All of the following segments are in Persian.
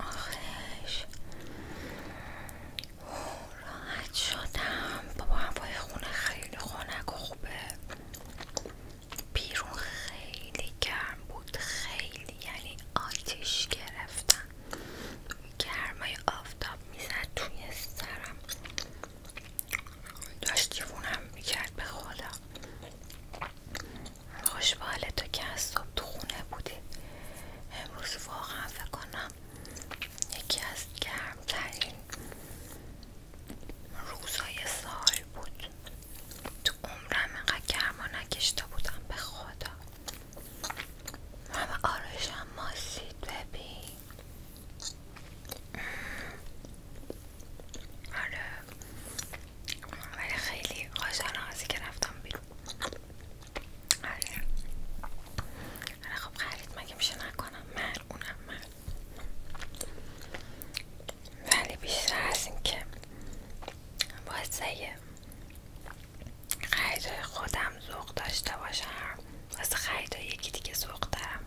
آخش راحت شدم بابا هوای خونه خیلی خنک و خوبه بیرون خیلی گرم بود خیلی یعنی آتش گرفتم گرمای آفتاب میزد توی سرم داشت فونم میکرد به خدا خوشباله تو که از صبح تو خونه بودی امروز واقعا فکر کنم یکی از گرمترین روزهای سال بود تو عمرم اینقدر گرما نکشته بودم به خدا ما آرشم ماسید ببین آره ولی خیلی خوشحالم که رفتم بیرون آره. آره، خب خرید مگه میشه نکنم مر اونم ولی بیشتر از اینکه که واسه خریدهای خودم ذوق داشته باشم واسه خریدهای یکی دیگه ذوق دارم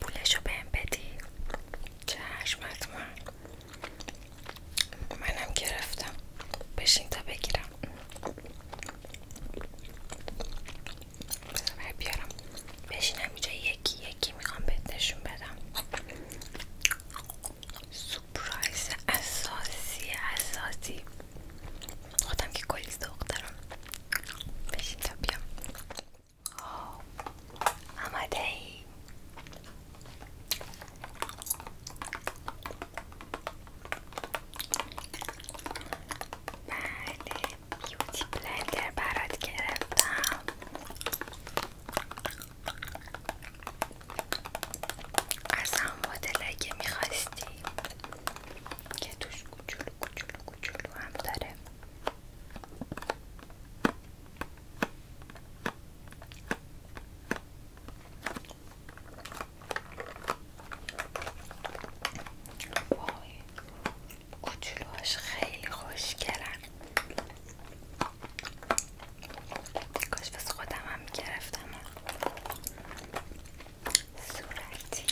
پولشو بهم بدی چشم حتما منم گرفتم بشین تا بگیرم بذار بیارم بشینم اینجا یکی یکی میخوام بهتشون بدم سپرایز اساسی اساسی خودم که کلیس دخترم بشین تا بیام آماده ای بله بیوتی بلندر برات گرفتم از هم مدله که میخواستی که توش کوچولو کوچولو هم داره وای خیلی خوش کاش بس خودم هم گرفتم صورتی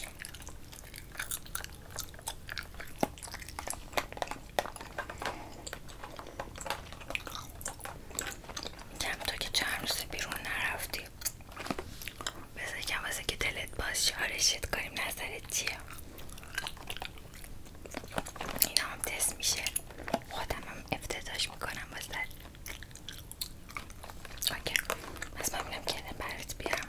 کم تو که چند روز بیرون نرفتی بذار کم واسه که دلت باز شارشت کنیم نظرت چیه این هم تست میشه خودم هم افتتاش میکنم واسه اوکی پس من بینم که برات بیارم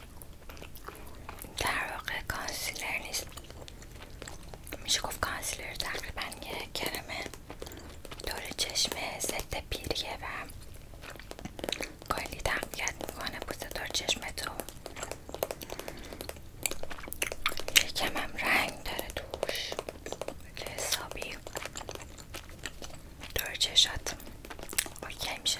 در واقع کانسیلر نیست میشه گفت کانسیلر تقریبا یه کرمه دور چشم ضد پیریه و کلی تقویت میکنه پوست دور چشمتو یکم هم رنگ داره توش که حسابی دور چشات اوکی میشه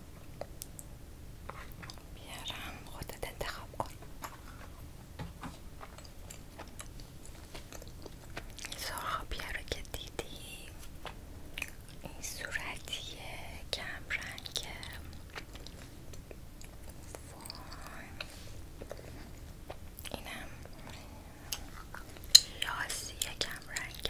بیارم خودت انتخاب کن این رو که دیدی این صورتیه کم رنگ اینم یاسی کم رنگ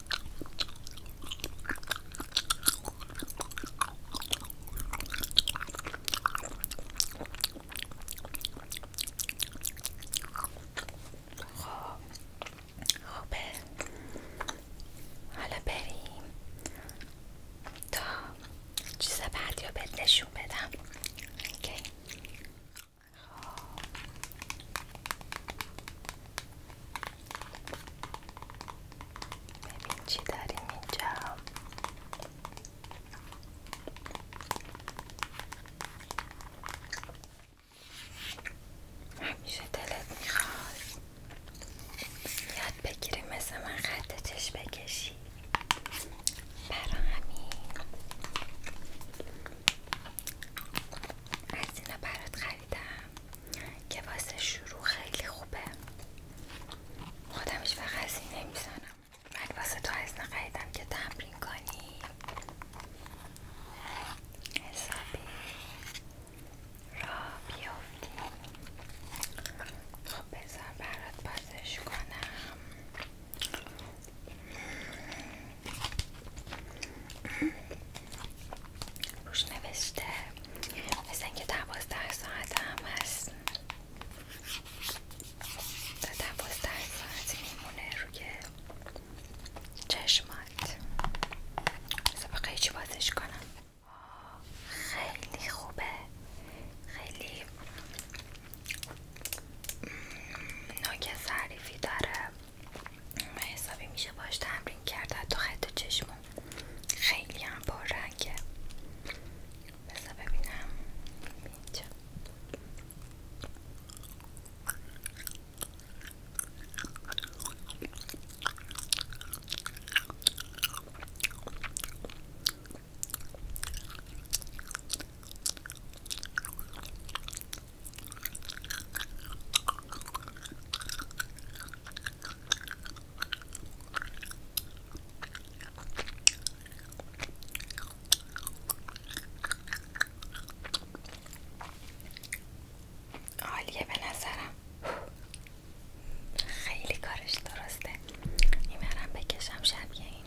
خوبه حالا بریم تا چیز بعدی رو بهت بدم خب. ببین چی داریم اینجا همیشه دلت میخواد یاد بگیری مثل من خط چشم بکشی برا همین از اینا برات خریدم که واسه شروع خیلی خوبه خودمش هیچ وقت هزینه من واسه تو هستم خریدم که تمرین کنی حسابی را بیافتی خب بذار برات بازش کنم روش نوشته مثل اینکه دوازده ساعت هم هست تا دوازده ساعت میمونه روی چشمات مثلا بقیه چی بازش کنم خیلی خوبه خیلی ناک داره حسابی میشه باش تمرین کرد حتی خط چشمون خیلی هم با رنگه ببینم عالیه به نظرم خیلی کارش درسته این بکشم شبیه این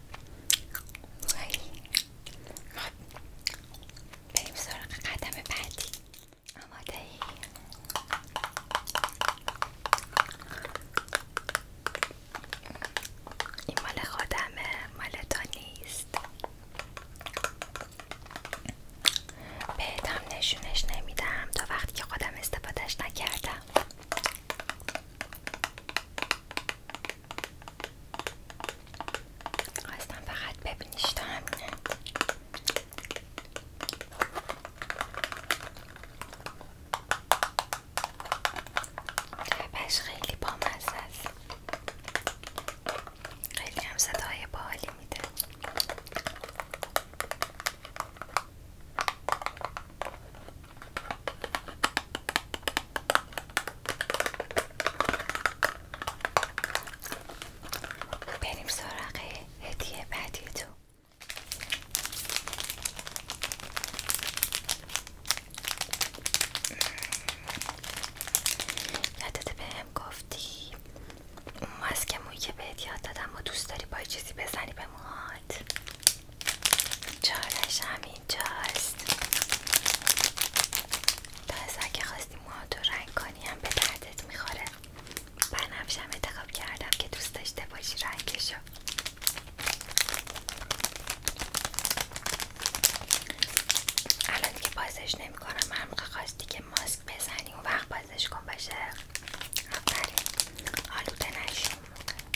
باید خب بریم قدم بعدی آماده ای؟ این مال خودمه مال تو نیست بهتم نشونش نمیدم تا وقتی که خودم استفادهش نکردم اصلا فقط ببینیش تا همینه جبش خیلی خیلی هم صدای باحالی میده بریم سراغ هدیه بعدی تو یادت به هم گفتی ماسک مویی که بهت یاد دادم و دوست داری با چیزی بزنی به موهات چالش هم اینجاست تازه اگه خواستی موهاتو رنگ کنی هم به دردت میخوره بنفشم انتخاب کردم که دوست داشته باشی رنگشو الان دیگه بازش نمیکنم کنم خاستی خواستی که ماسک بزنی اون وقت بازش کن باشه آفرین آلوده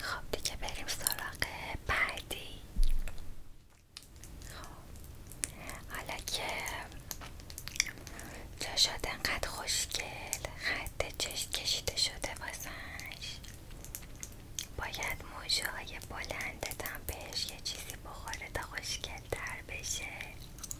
خب دیگه بریم سراغ بعدی خب، حالا که چشات انقدر خوشگل خط چشم کشیده شده واسه باید موجه های بلندت بهش یه چیزی بخوره تا خوشگل تر بشه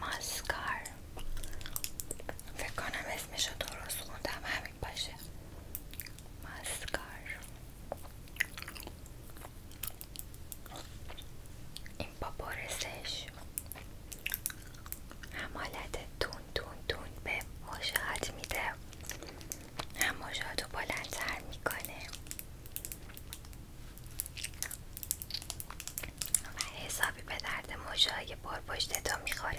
ماسکار فکر کنم رو درست خوندم همین باشه ماسکار این با برسش هم حالت تون تون تون به مشاهد میده هم بلندتر میکنه و حسابی به درد مجاهای پر می میخوره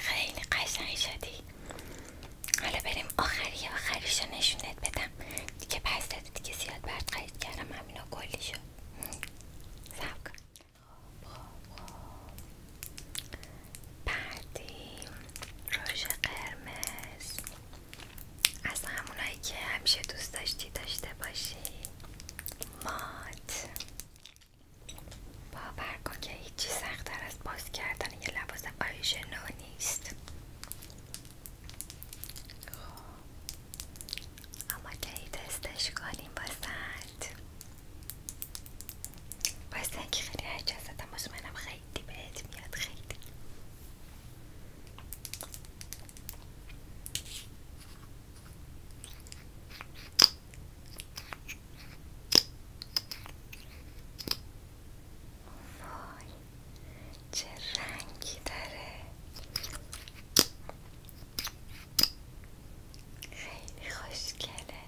خیلی قشنگ شدی حالا بریم آخری آخریشو نشونت بدم دیگه پس دیگه زیاد برد قید کردم همینو کلیشو سب کن بعدی روژ قرمز از همونایی که همیشه دوست داشتی داشته باشی مات باور کن که هیچی در از باز کردن یه لباس آیشنو نیست خب. اما که ای دستش کنیم بازند واسه خیلی هرچستم واسه منم خیلی بهت میاد خیلی وای چه رنگی داره خیلی خوشگله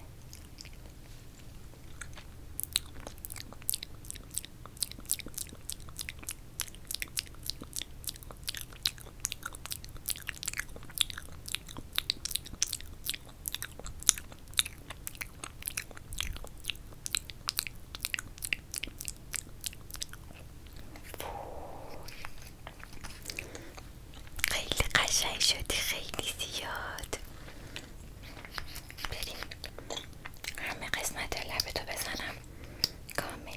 خیلی قشنگ شدی خیلی زیاد بریم همه قسمت لبتو بزنم کامل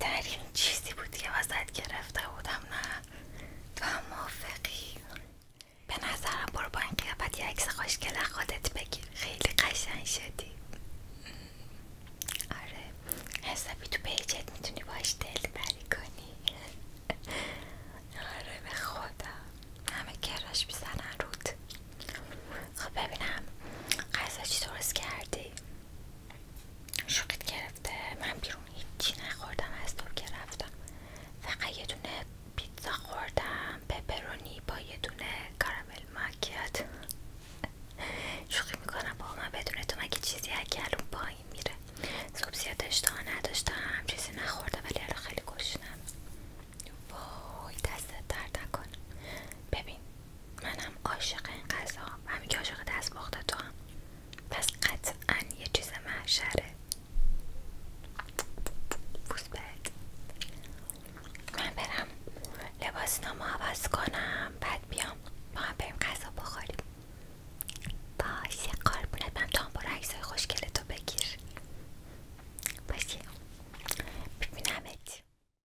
این چیزی بود که وسط گرفته بودم نه تو هم موافقی به نظرم برو با این قیافت یه عکس خوشگل خودت بگیر خیلی قشنگ شدی آره حسابی تو پیجت میتونی باش دل بری کنی آره به خدا همه کراش میزنن رود خب ببینم قصه چی درست کردی شوقت گرفته من بیرون هیچی نخوردم از تو که رفتم فقط یه دونه پیتزا خوردم پپرونی با یه دونه کارامل ماکیات شوخی میکنم با من بدون تو مگه چیزی الان پایین میره صبح زیاد اشتها نداشتم چیزی نخوردم ولی الان خیلی گشنم وای دستت درد ببین منم عاشق این غذا همین که عاشق دست تو هم پس قطعا یه چیز محشره بوسبت من برم لباس نامو عوض کنم بعد بیام ما هم بریم غذا بخوریم باشه قربونت من تا هم برو عکسای خوشگلتو بگیر باشه ببینمت